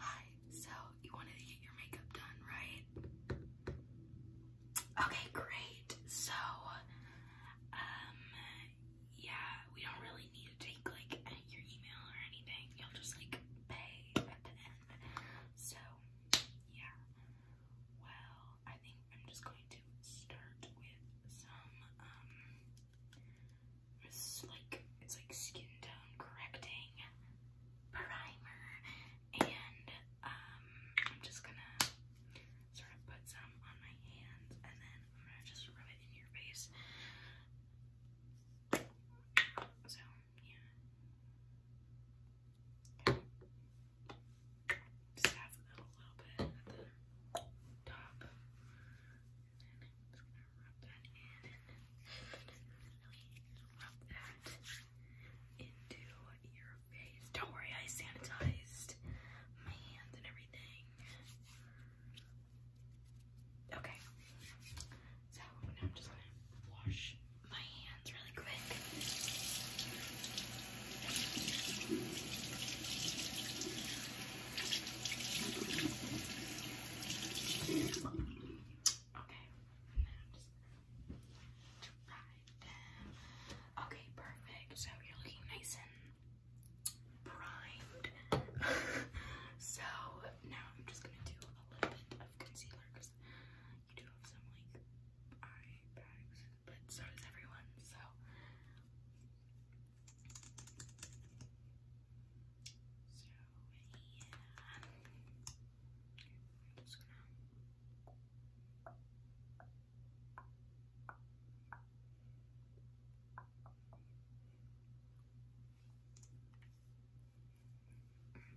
Hi, so you wanted to get your makeup done, right? Okay, great. So, um, yeah, we don't really need to take like any, your email or anything. You'll just like pay at the end. So, yeah. Well, I think I'm just going to start with some um it's like it's like skin tone correcting primer, and um, I'm just gonna sort of put some on my hands, and then I'm gonna just rub it in your face. So yeah, just have a little, bit at the top. Don't worry, I sanitized my hands and everything. Okay, so now I'm just gonna wash my hands really quick. Okay. To prime them. Okay, perfect. So you're looking nice and primed. so now I'm just gonna do a little bit of concealer because you do have some like eye bags, but so does everyone. So so, yeah. I'm just gonna.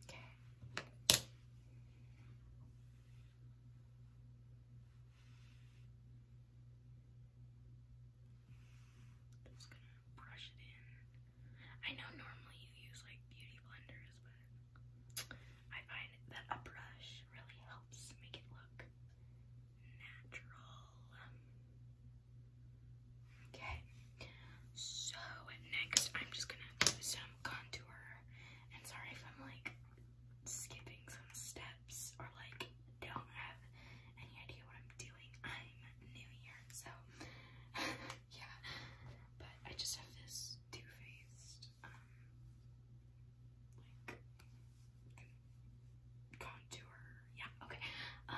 Okay. I'm just gonna brush it in. I know normally you use like beauty blenders, but I find that a brush really helps make it look natural. Okay, so next I'm just gonna do some contour. And sorry if I'm like skipping some steps or like don't have any idea what I'm doing. I'm new here, so yeah. But I just have this two-faced um contour. Yeah, okay. Um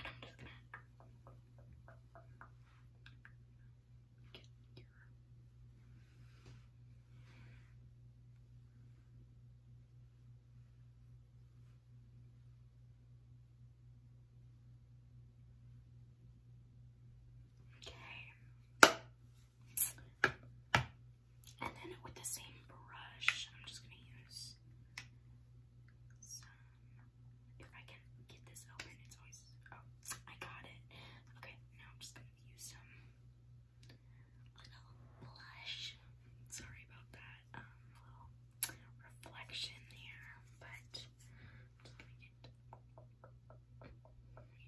Okay. And then with the same brush, I'm just going to use If I can get this open, it's always. Oh, I got it. Okay, now I'm just going to with you some a little blush. Sorry about that. Um, a little reflection there, but just gonna get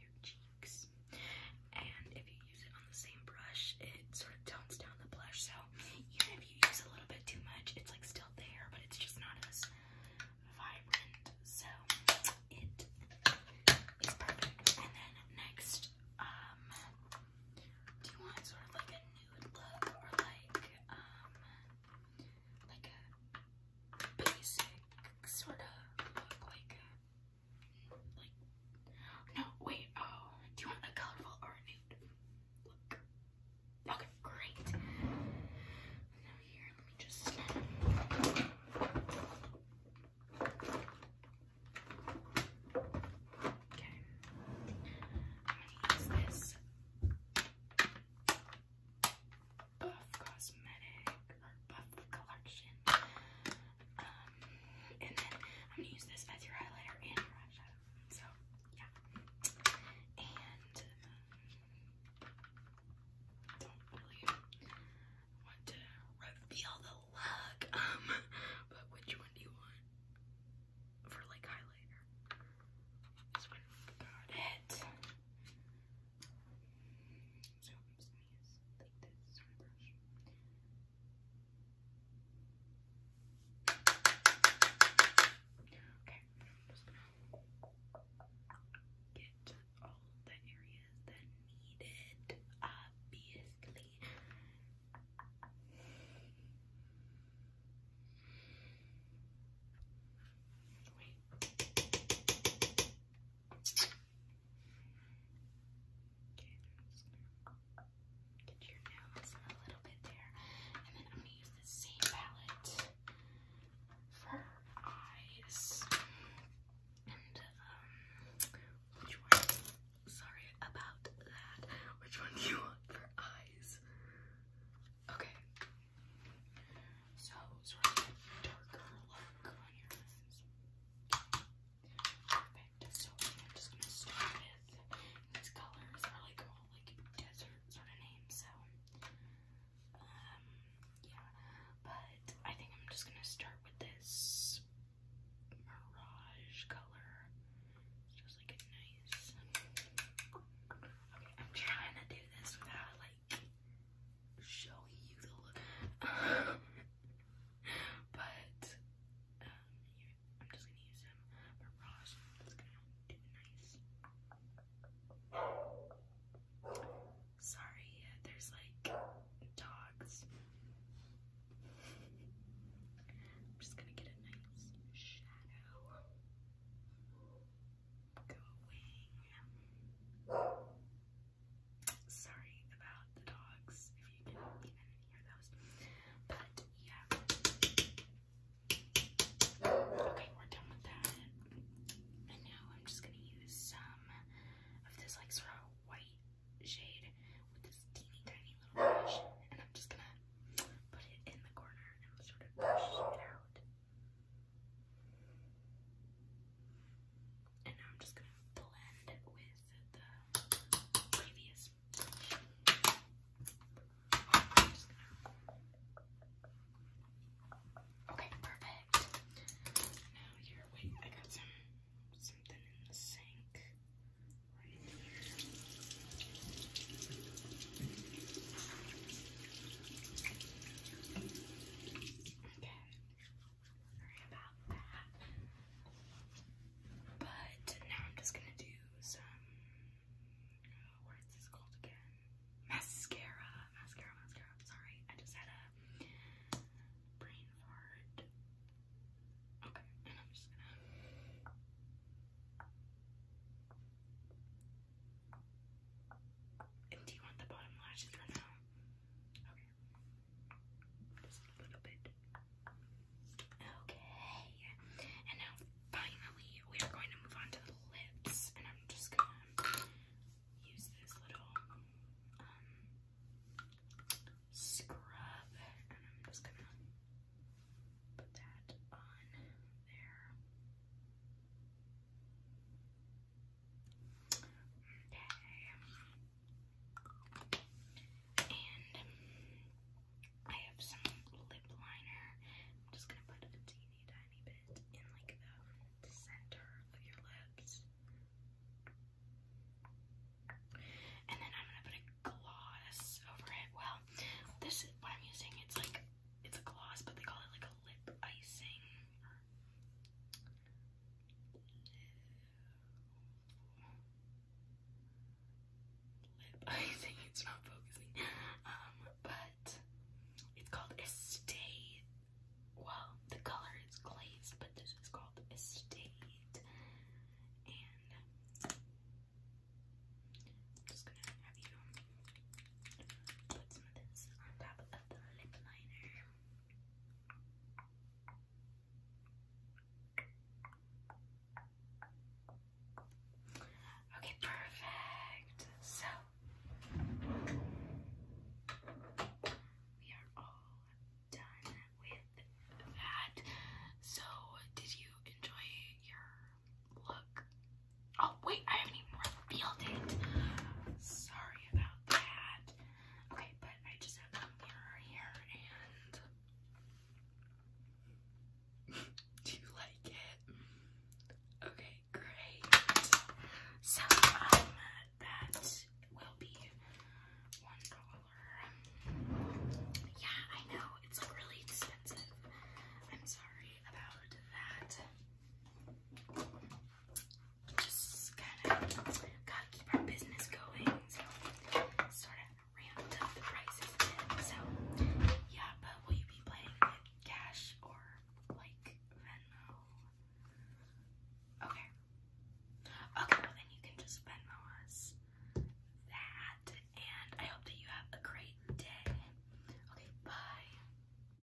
your cheeks. And if you use it on the same brush, it sort of tones down the blush. So even if you use a little bit too much, it's like still there, but it's just not as vibrant, so it is perfect. And then next, um, do you want sort of like a nude look or like um like a basic sort of look like like no wait oh do you want a colorful or a nude look? Okay, great here, let me just Okay. I'm gonna use this Buff Cosmetic or Buff Collection. and then I'm gonna use this as your highlighter and your eyeshadow. So yeah. And don't really want to reveal the look. Um, but which one do you want for like highlighter? Got it. Okay. I'm get all the areas that need obviously. Wait. Okay, just get your nails a little bit there, and then I'm gonna use the same palette for eyes. And um which one sorry about that. Which one do you want for eyes? Okay. So sort of a darker look on your eyes. Perfect. So I'm just gonna start with these colors are like all like desert sort of name, so um, yeah. But I think I'm just gonna start with this mirage color. It's just like a nice Okay, I'm trying to do this without like showing you the look. but um, I'm just gonna use them. But Ross is gonna do nice. Sorry, there's like dogs. I'm just gonna get a nice shadow. Going. Sorry about the dogs if you didn't even hear those. But yeah. Okay, we're done with that. And now I'm just gonna use some of this like sort of white shade with this teeny tiny little brush. And I'm just gonna put it in the corner and sort of brush it out. And now I'm just gonna blend with the previous Okay, perfect. Now here, wait, I got some something in the sink right here. Okay. Sorry about that. But now I'm just gonna do some, uh, what is this called again? Mascara, mascara, mascara. I'm sorry, I just had a brain fart. Okay, and I'm just gonna. And do you want the bottom lashes or no? Okay. Just a Okay. And now finally we are going to move on to the lips. And I'm just gonna use this little um, scrub and I'm just gonna put that on there. Okay. And I have some lip liner. I'm just gonna put a teeny tiny bit in like the center of your lips. And then I'm gonna put a gloss over it. Well, this is what I'm using. It's like it's a gloss, but they call it like a lip icing lip. I it's not focusing. Um, but it's called Estate. Well, the color is glazed, but this is called Estate. And just gonna have you put some of this on top of the lip liner. Okay, perfect. So we are all done with that. So, did you enjoy your look? Oh, wait, I haven't even revealed it. Sorry about that. Okay, but I just have a mirror here and do you like it? Okay, great. So um, that will be one dollar. Yeah, I know, it's really expensive. I'm sorry about that just kind of gotta keep our business going. sort of ramped up the prices So yeah, but will you be playing cash or like Venmo? Okay. Okay, well then you can just Venmo us that. And I hope that you have a great day. Okay, bye.